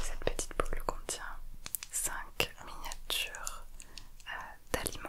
Cette petite boule contient 5 miniatures euh, d'aliments.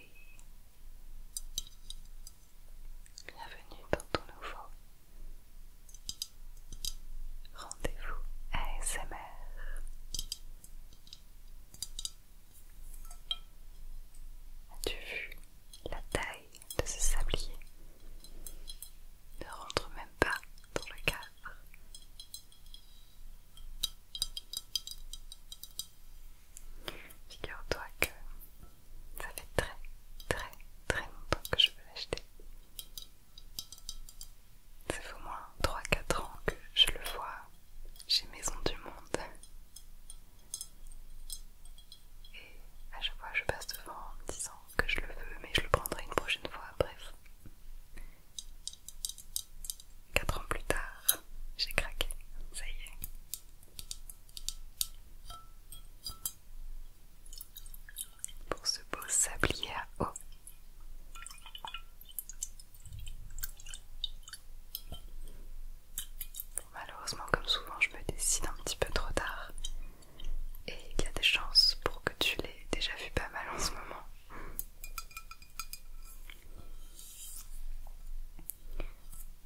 Bienvenue dans ton nouveau rendez-vous ASMR. As-tu vu la taille de ce sablier Ne rentre même pas dans le cadre. Figure-toi que ça fait très très très longtemps que je veux l'acheter. Ça fait au moins 3-4 ans que je le vois chez Maison du Monde. Et à chaque fois je passe devant en me disant que je le veux mais je le prendrai une prochaine fois, bref. 4 ans plus tard, j'ai craqué, ça y est pour ce beau sablier à eau. malheureusement, comme souvent, je me décide un petit peu trop tard. Et il y a des chances pour que tu l'aies déjà vu pas mal en ce moment.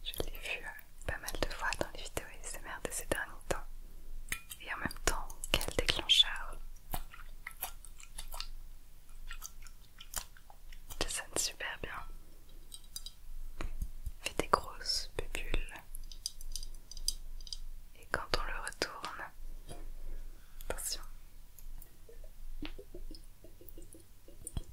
Je l'ai vu euh, pas mal de fois dans les vidéos ASMR de ces derniers temps. Et en même temps, quel déclencheur Ça sonne super bien. Fais fait des grosses bulles. Et quand on le retourne, attention, Regarde toutes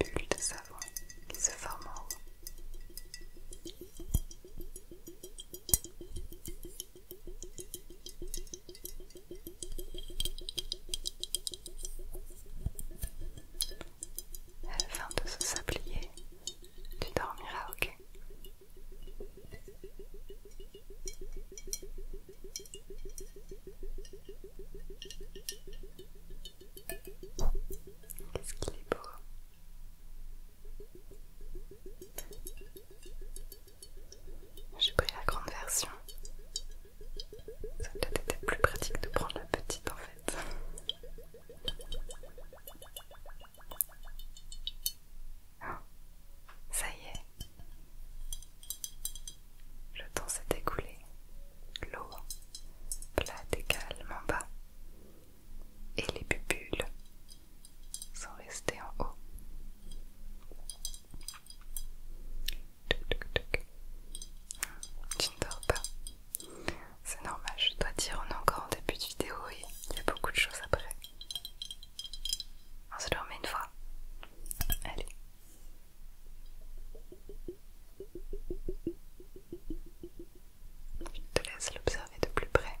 les bulles de savon qui se forment en elle la fin de se sablier, tu dormiras, ok Qu'est-ce qu'il est beau j'ai pris la grande version. Ça peut être plus pratique de prendre la petite en fait. Ah, ça y est. Le temps s'est écoulé. L'eau plate et calme en bas. Et les bulles sans rester en haut. Tu ne dors pas. C'est normal, je dois dire, on est encore en début de vidéo et il y a beaucoup de choses après. On se le une fois. Allez. Je te laisse l'observer de plus près.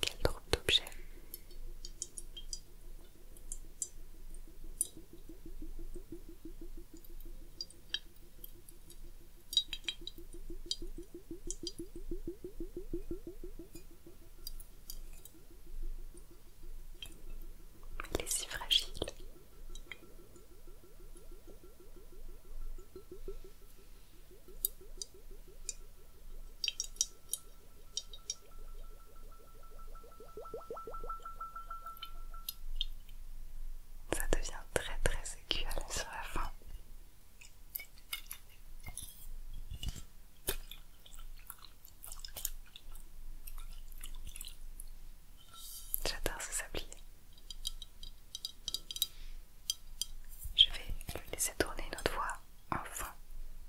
Quel drôle d'objet il est si fragile. Ça devient très très écuel sur la fin. J'adore ce sablier. Je vais le laisser tourner une autre fois. Enfin,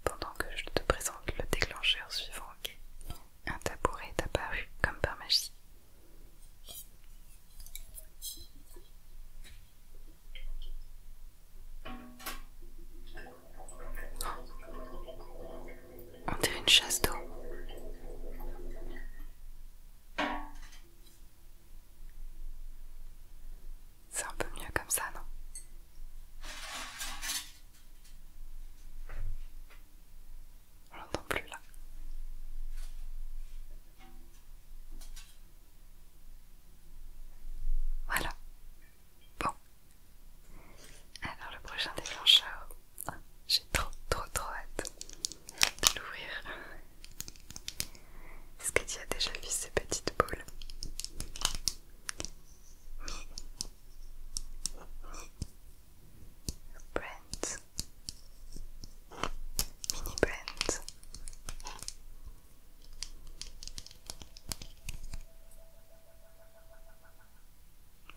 pendant que je te présente le déclencheur suivant, un tabouret est apparu comme par magie. On dirait une chasse d'eau. C'est un peu mieux comme ça, non On l'entend plus là. Voilà. Bon. Alors le prochain déclencheur. Ah, j'ai trop trop trop hâte de l'ouvrir. Est-ce que tu as déjà vu ces petites boules mini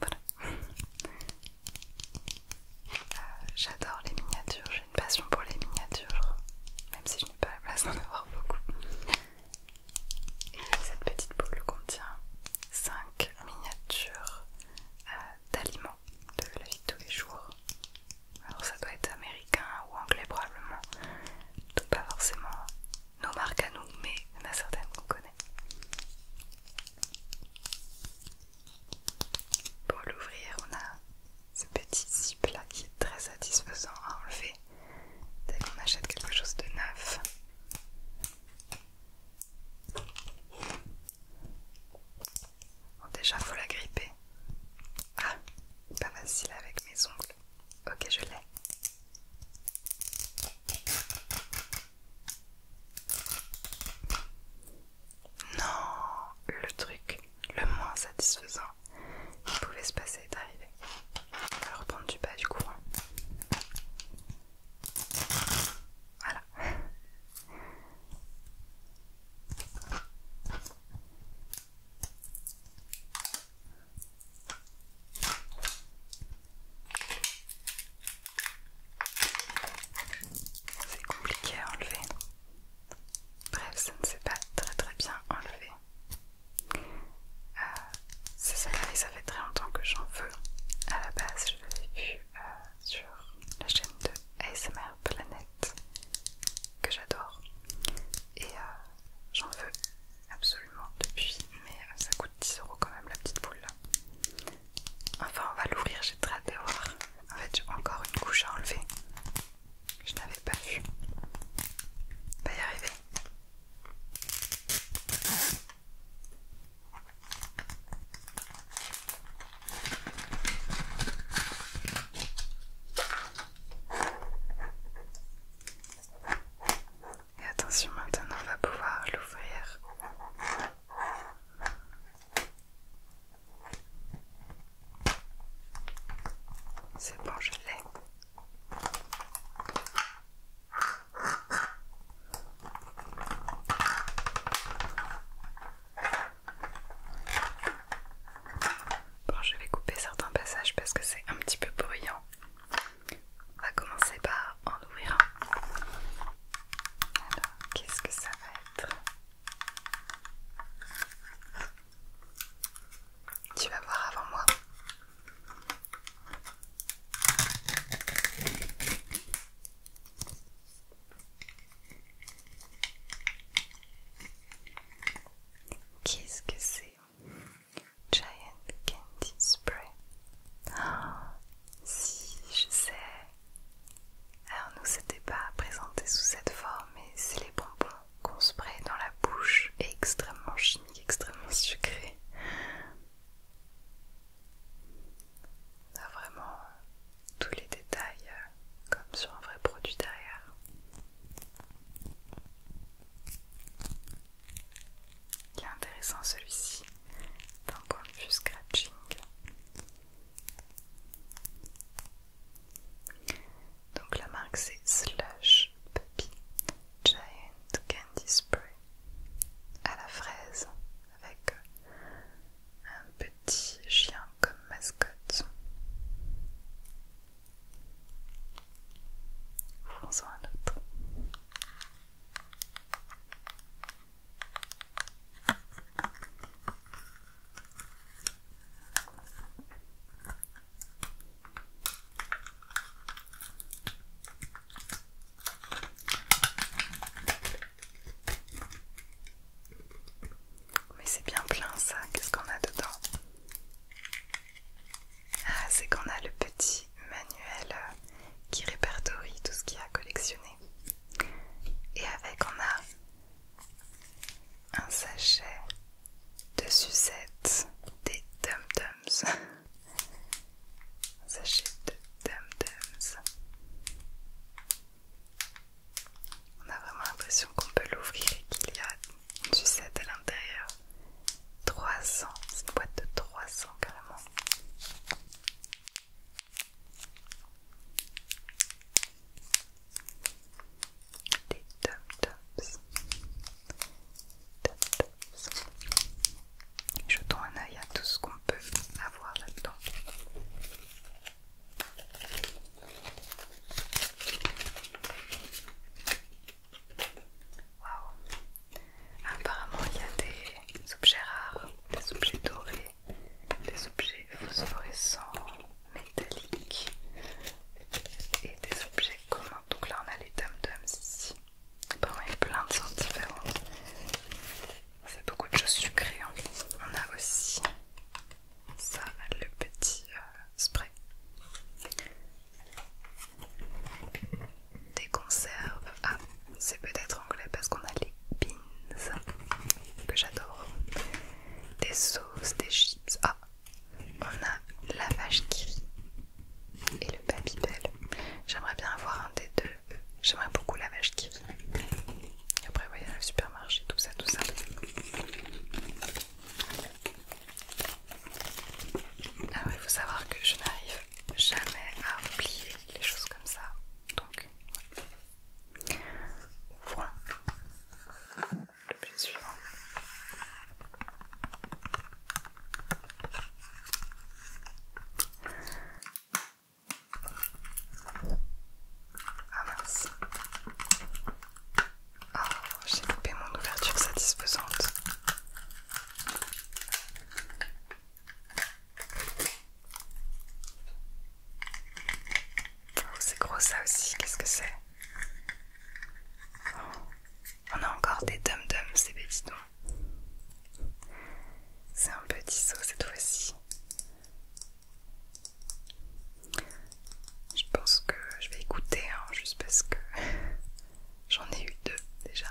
Voilà. Euh, j'adore les miniatures, j'ai une passion pour les miniatures, même si je n'ai pas la place d'en avoir beaucoup cette petite boule contient 5 miniatures euh, d'aliments de la vie de tous les jours. Alors ça doit être américain ou anglais probablement, pas forcément nos marques à nous, mais il y en a certaines qu'on connaît. Pour l'ouvrir, on a ce petit zip là qui est très satisfaisant à enlever dès qu'on achète quelque chose de neuf. Bon, déjà, faut la gripper. Ah, pas facile avec mes ongles. Ok, je l'ai. Non, le truc le moins satisfaisant. Il pouvait se passer d'arriver arrivé. On va reprendre du bas du coup. Hein. Voilà. C'est compliqué à enlever. Bref, ça ne s'est pas très très bien enlevé c'est euh, ça et ça fait très longtemps que j'en veux. À la base, je l'avais vu euh, sur la chaîne de ASMR Planet que j'adore et euh, j'en veux absolument depuis, mais ça coûte 10 euros quand même la petite boule Enfin, on va l'ouvrir, j'ai très hâte de voir. En fait, j'ai encore une couche à enlever. Je n'avais pas vu. On va y arriver. Et attention, maintenant on va pouvoir l'ouvrir. C'est bon, je l'ai. Bon, je vais couper certains passages parce que c'est un petit peu bruyant. On va commencer par en ouvrir un. Alors, qu'est-ce que ça va être tu vas voir avant moi. Qu'est-ce que c'est Giant Candy Spray. si, je sais. Alors nous, c'était pas présenté sous cette forme, mais c'est les bonbons qu'on spray dans la bouche extrêmement chimiques extrêmement sucré. On a vraiment tous les détails euh, comme sur un vrai produit derrière. Il est intéressant celui-ci tant qu'on ne scratching. Donc la marque c'est Slush Puppy Giant candy spray à la fraise avec un petit chien comme mascotte. Mais c'est bien plein ça, qu'est-ce qu'on a dedans Ah, c'est qu'on a le petit manuel euh, qui répertorie tout ce qu'il y a à collectionner. Et avec, on a un sachet de sucettes des dum-dums. sachet de Dum Dums. On a vraiment l'impression qu'on peut l'ouvrir et qu'il y a une sucette à l'intérieur. 300, c'est une boîte de 300 carrément. Des Dum je Jetons un œil à tout ce qu'on peut avoir là-dedans. Waouh! Apparemment, il y a des objets rares, des objets dorés, des objets phosphorescents, métalliques et des objets communs. Donc là, on a les dum-dums ici. Bon, il y a plein de sortes différentes. c'est beaucoup de choses sucrées. Hein. On a aussi ça, le petit euh, spray. Des conserves. Ah, c'est peut-être anglais parce qu'on a les beans que j'adore. Des sauces, des chips. Ah, on a la vache qui et le bell. J'aimerais bien avoir un des deux. J'aimerais beaucoup la vache qui Et Après, voyez, le supermarché, tout ça, tout ça. Ah il faut savoir que je n'arrive jamais à oublier les choses comme ça. Donc, voilà. Le L'objet suivant. Ah mince. Oh, j'ai coupé mon ouverture satisfaisante. Oh, c'est gros ça aussi, qu'est-ce que c'est oh, On a encore des dum-dum, c'est non. C'est un petit saut cette fois-ci. Je pense que je vais écouter, hein, juste parce que j'en ai eu deux déjà.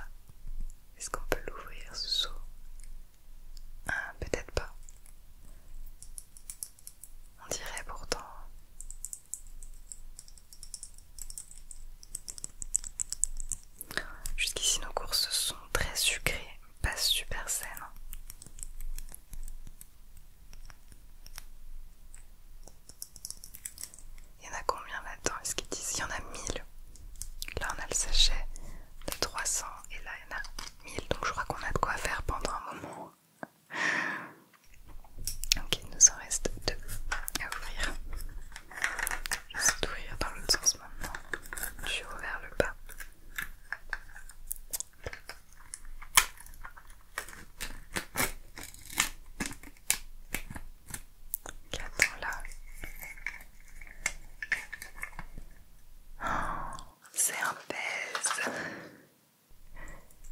Est-ce qu'on peut l'ouvrir ce saut ah, Peut-être pas. On dirait pourtant. Jusqu'ici, nos courses sont très sucrées, pas super saines. Il y en a combien là-dedans Est-ce qu'ils disent Il y en a 1000. Là, on a le sachet de 300 et là, il y en a 1000. Donc, je crois qu'on a de quoi faire pendant un moment. Ok, il nous en reste deux à ouvrir. Je sais d'où dans l'autre sens maintenant. Je suis ouvert le bas. Qu'attends là oh, C'est un pèse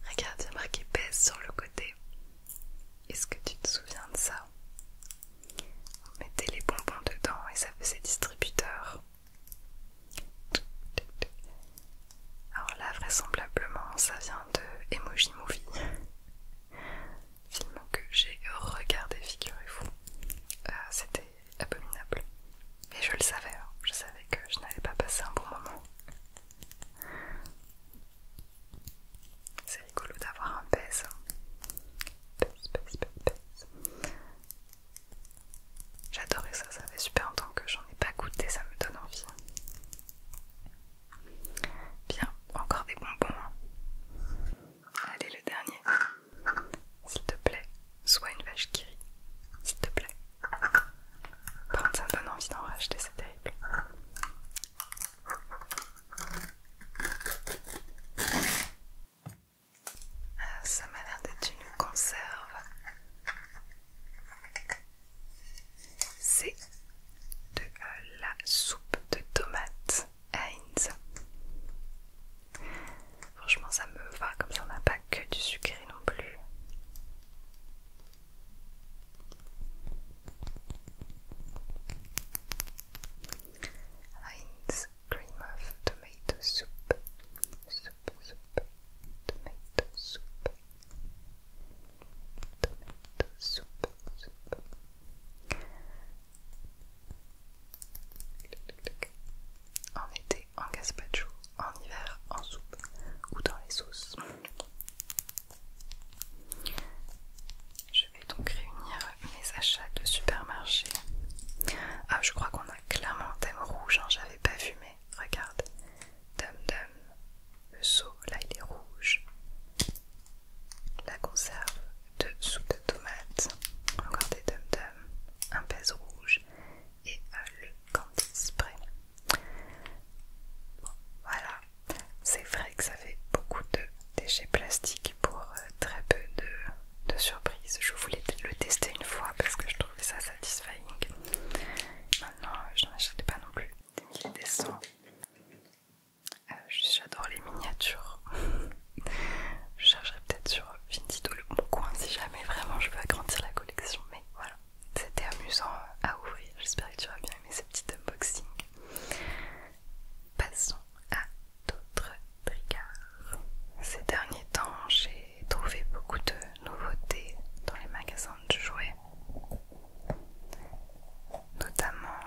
Regarde, il y a marqué pèse sur le côté. Est-ce que tu te souviens de ça On mettait les bonbons dedans et ça faisait distributeur. Alors là, vraisemblablement, ça vient de Emoji Movie, film que j'ai regardé, figurez-vous. Euh, c'était abominable. Et je le savais, hein. je savais que je n'allais pas passer un bon moment. C'est rigolo d'avoir un pèse. Pèse, J'adorais ça, ça fait super longtemps que j'en ai pas goûté, ça me donne envie. Bien, encore des bonbons. Allez, le dernier. S'il te plaît, sois une vache qui rit. S'il te plaît. Par ça me donne envie d'en racheter, c'est terrible. Ah, ça m'a l'air d'être une conserve. C'est de euh, la soupe de tomates Heinz. Franchement, ça me va comme si on n'a pas que du sucré non plus. Heinz cream of tomato soup. Soup, soup, tomato soup. Tomato soup, soup. En été en gazpacho, en hiver en soupe ou dans les sauces. Je vais donc réunir mes achats de supermarché. Ah, je crois qu'on a clairement un thème rouge, hein, j'avais pas fumé. regarde. Dum dum, le seau, là il est rouge. La conserve de soupe de tomate, encore des dum dum, un pèse rouge et euh, le candy spray. voilà, c'est vrai que ça fait beaucoup de déchets plastiques pour euh, très peu de, surprises. Je voulais le tester une fois parce que je trouvais ça satisfying. Maintenant, je n'en achète pas non plus. Il des cents. Euh, j'adore les miniatures. je chercherai peut-être sur Vindido le bon coin si jamais vraiment je veux agrandir la collection. Mais voilà, c'était amusant à ouvrir. J'espère que tu auras bien aimé ces petites unboxing passons à d'autres bricards. Ces derniers temps, j'ai trouvé beaucoup de nouveautés dans les magasins de jouets, notamment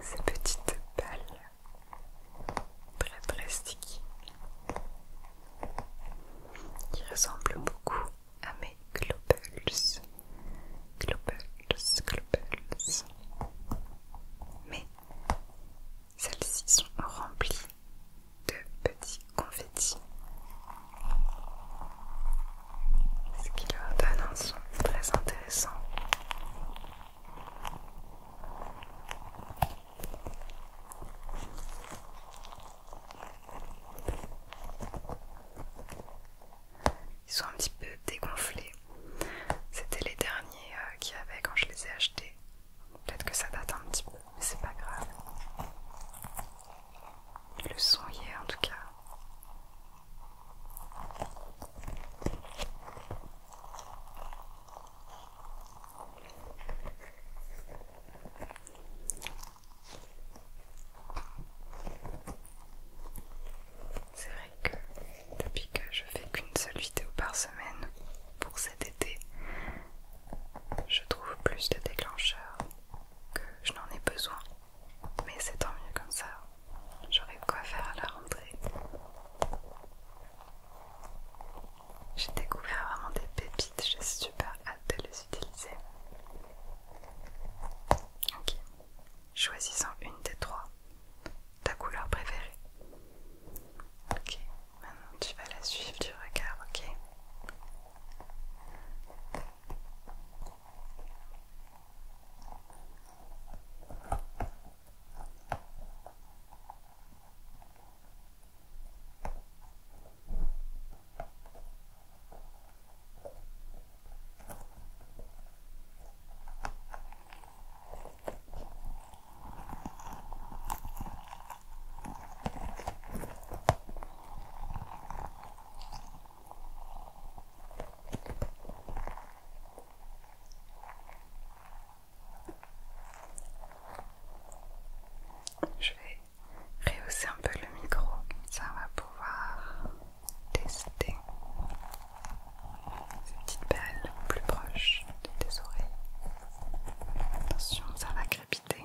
ces petites balles très très qui ressemblent beaucoup à mes globules. Mais celles-ci sont remplies de petits confettis, ce qui leur donne un son très intéressant ils sont un petit peu dégonflés. C'était les derniers euh, qu'il y avait quand je les ai achetés. Peut-être que ça date un petit peu, mais c'est pas grave. Le son y est en tout cas. C'est vrai que depuis que je fais qu'une seule vidéo par semaine pour cet été, je trouve plus de déclencheurs que je n'en ai besoin. Mais c'est tant mieux comme ça. J'aurai quoi faire à la rentrée. J'ai découvert vraiment des pépites, j'ai super hâte de les utiliser. Ok, choisissant une des trois, ta couleur préférée. Ok, maintenant tu vas la suivre du regard, ok je vais rehausser un peu le micro, ça va pouvoir tester ces petites balles plus proches de tes oreilles. Attention, ça va crépiter.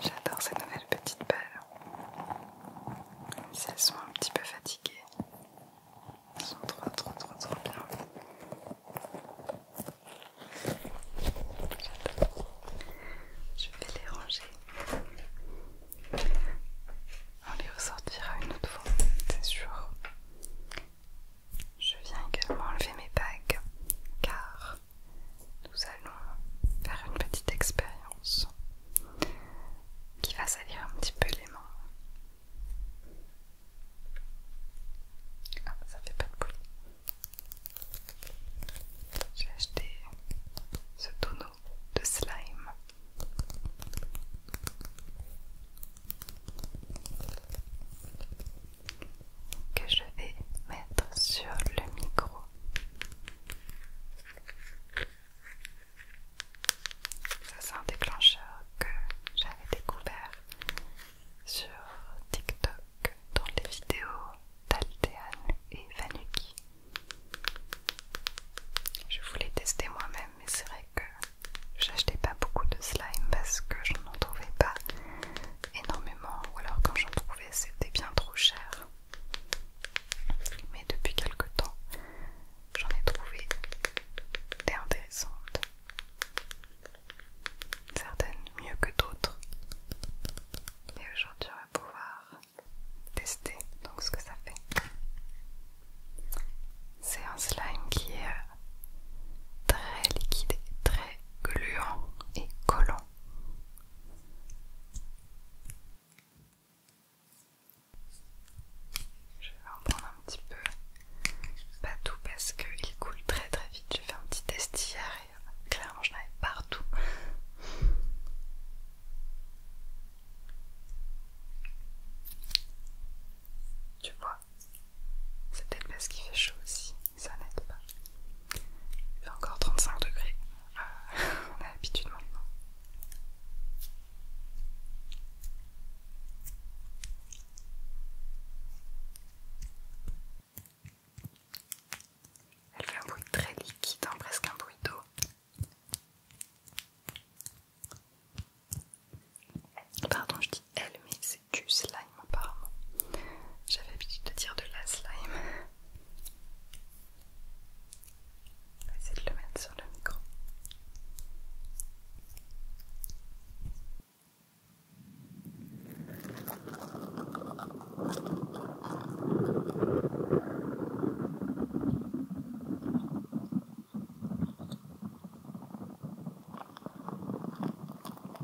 J'adore ces nouvelles petites balles. si elles sont un petit peu fatiguées, elles sont trop, trop, trop, trop bien. Je vais les ranger. On les ressortira une autre fois, c'est sûr. Je viens également enlever mes bagues car nous allons faire une petite expérience qui va salir un petit peu les mains. Ah, ça fait pas de bruit. J'ai acheté ce tonneau de slime que je vais mettre sur le micro. Ça c'est un déclencheur que j'avais découvert sur TikTok dans les vidéos d'Altean et Vanuki. Je voulais tester moi-même mais c'est vrai que j'achetais pas beaucoup de slime parce que je n'en trouvais pas énormément ou alors quand j'en trouvais c'était bien trop cher. Mais depuis quelque temps, j'en ai trouvé des intéressantes. Certaines mieux que d'autres. Et aujourd'hui, on va pouvoir tester donc ce que ça fait. C'est un slime qui est euh, très liquide, très gluant et collant. Je vais en prendre un petit peu, pas tout parce qu'il coule très très vite. J'ai fait un petit test hier et euh, clairement je n'avais partout. Tu vois, c'est peut-être parce qu'il fait chaud aussi ça n'aide pas. Il fait encore 35 degrés, ah, on a l'habitude maintenant. Elle fait un bruit très liquide, hein, presque un bruit d'eau. Pardon, je dis elle, mais c'est du slime apparemment. J'avais l'habitude de dire de la slime. On va essayer de le mettre sur le micro.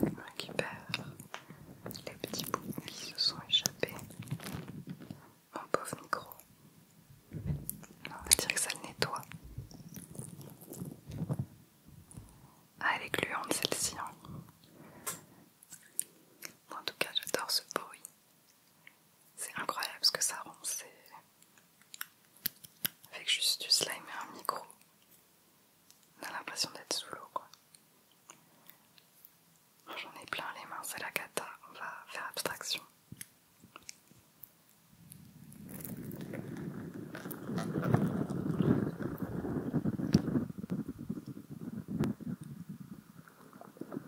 Je récupère les petits bouts qui se sont échappés. Mon pauvre micro. On va dire que ça le nettoie. Ah, elle est gluante celle-ci. Hein. En tout cas, j'adore ce bruit. C'est incroyable ce que ça rend, c'est... Avec juste du slime et un micro, on a l'impression d'être sous l'eau quoi. J'en ai plein les mains, c'est la cata, on va faire abstraction.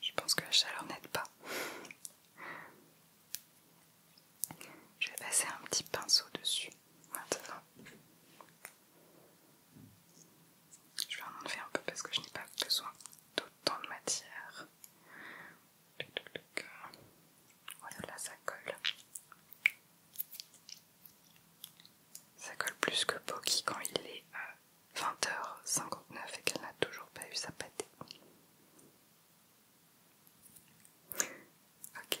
Je pense que la chaleur n'aide pas. Je vais passer un petit pinceau dessus maintenant. Je vais en enlever un peu parce que je n'ai pas besoin d'autant de matière. Voilà, ça colle. Ça colle plus que Poki quand il est à 20h59 et qu'elle n'a toujours pas eu sa pâté. Ok,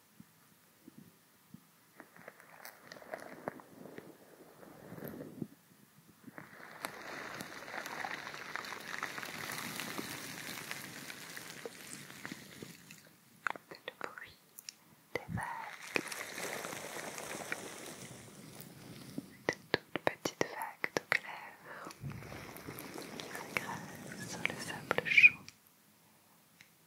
Le bruit des vagues, de toutes petites vagues de clair qui s'agrafent sur le sable chaud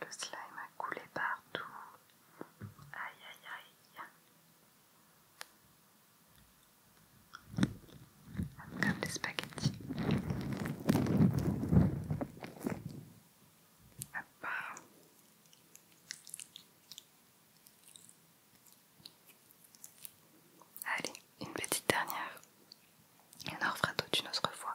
Le slime a coulé partout. Aïe aïe aïe. Comme des spaghettis. Allez, une petite dernière. Et on en refera toute une autre fois.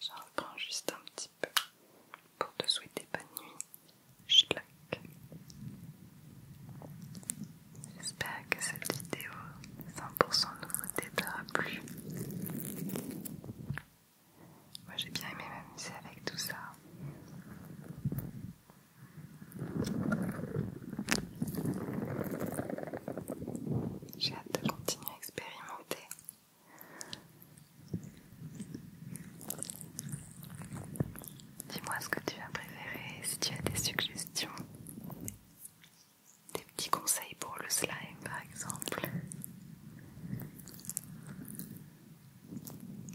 J'en reprends juste un petit peu pour te souhaiter bonne nuit J'espère que cette vidéo 100% nouveauté t'aura plu. Moi j'ai bien aimé m'amuser avec tout ça. J'ai hâte de continuer à expérimenter. Dis-moi ce que tu as préféré, si tu as des suggestions, des petits conseils pour le slime par exemple.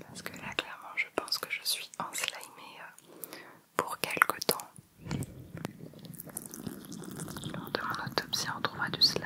Parce que là clairement je pense que je suis en enslimée euh, pour quelque temps. Lors de mon autopsie on trouvera du slime.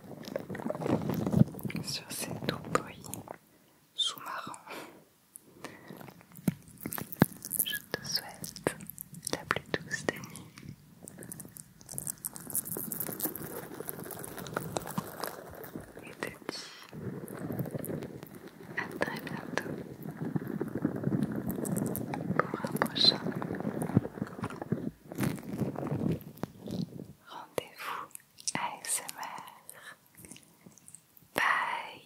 sur ces doux bruits sous-marins. Je te souhaite la plus douce des nuits. Et te dis à très bientôt pour un prochain rendez-vous ASMR. Bye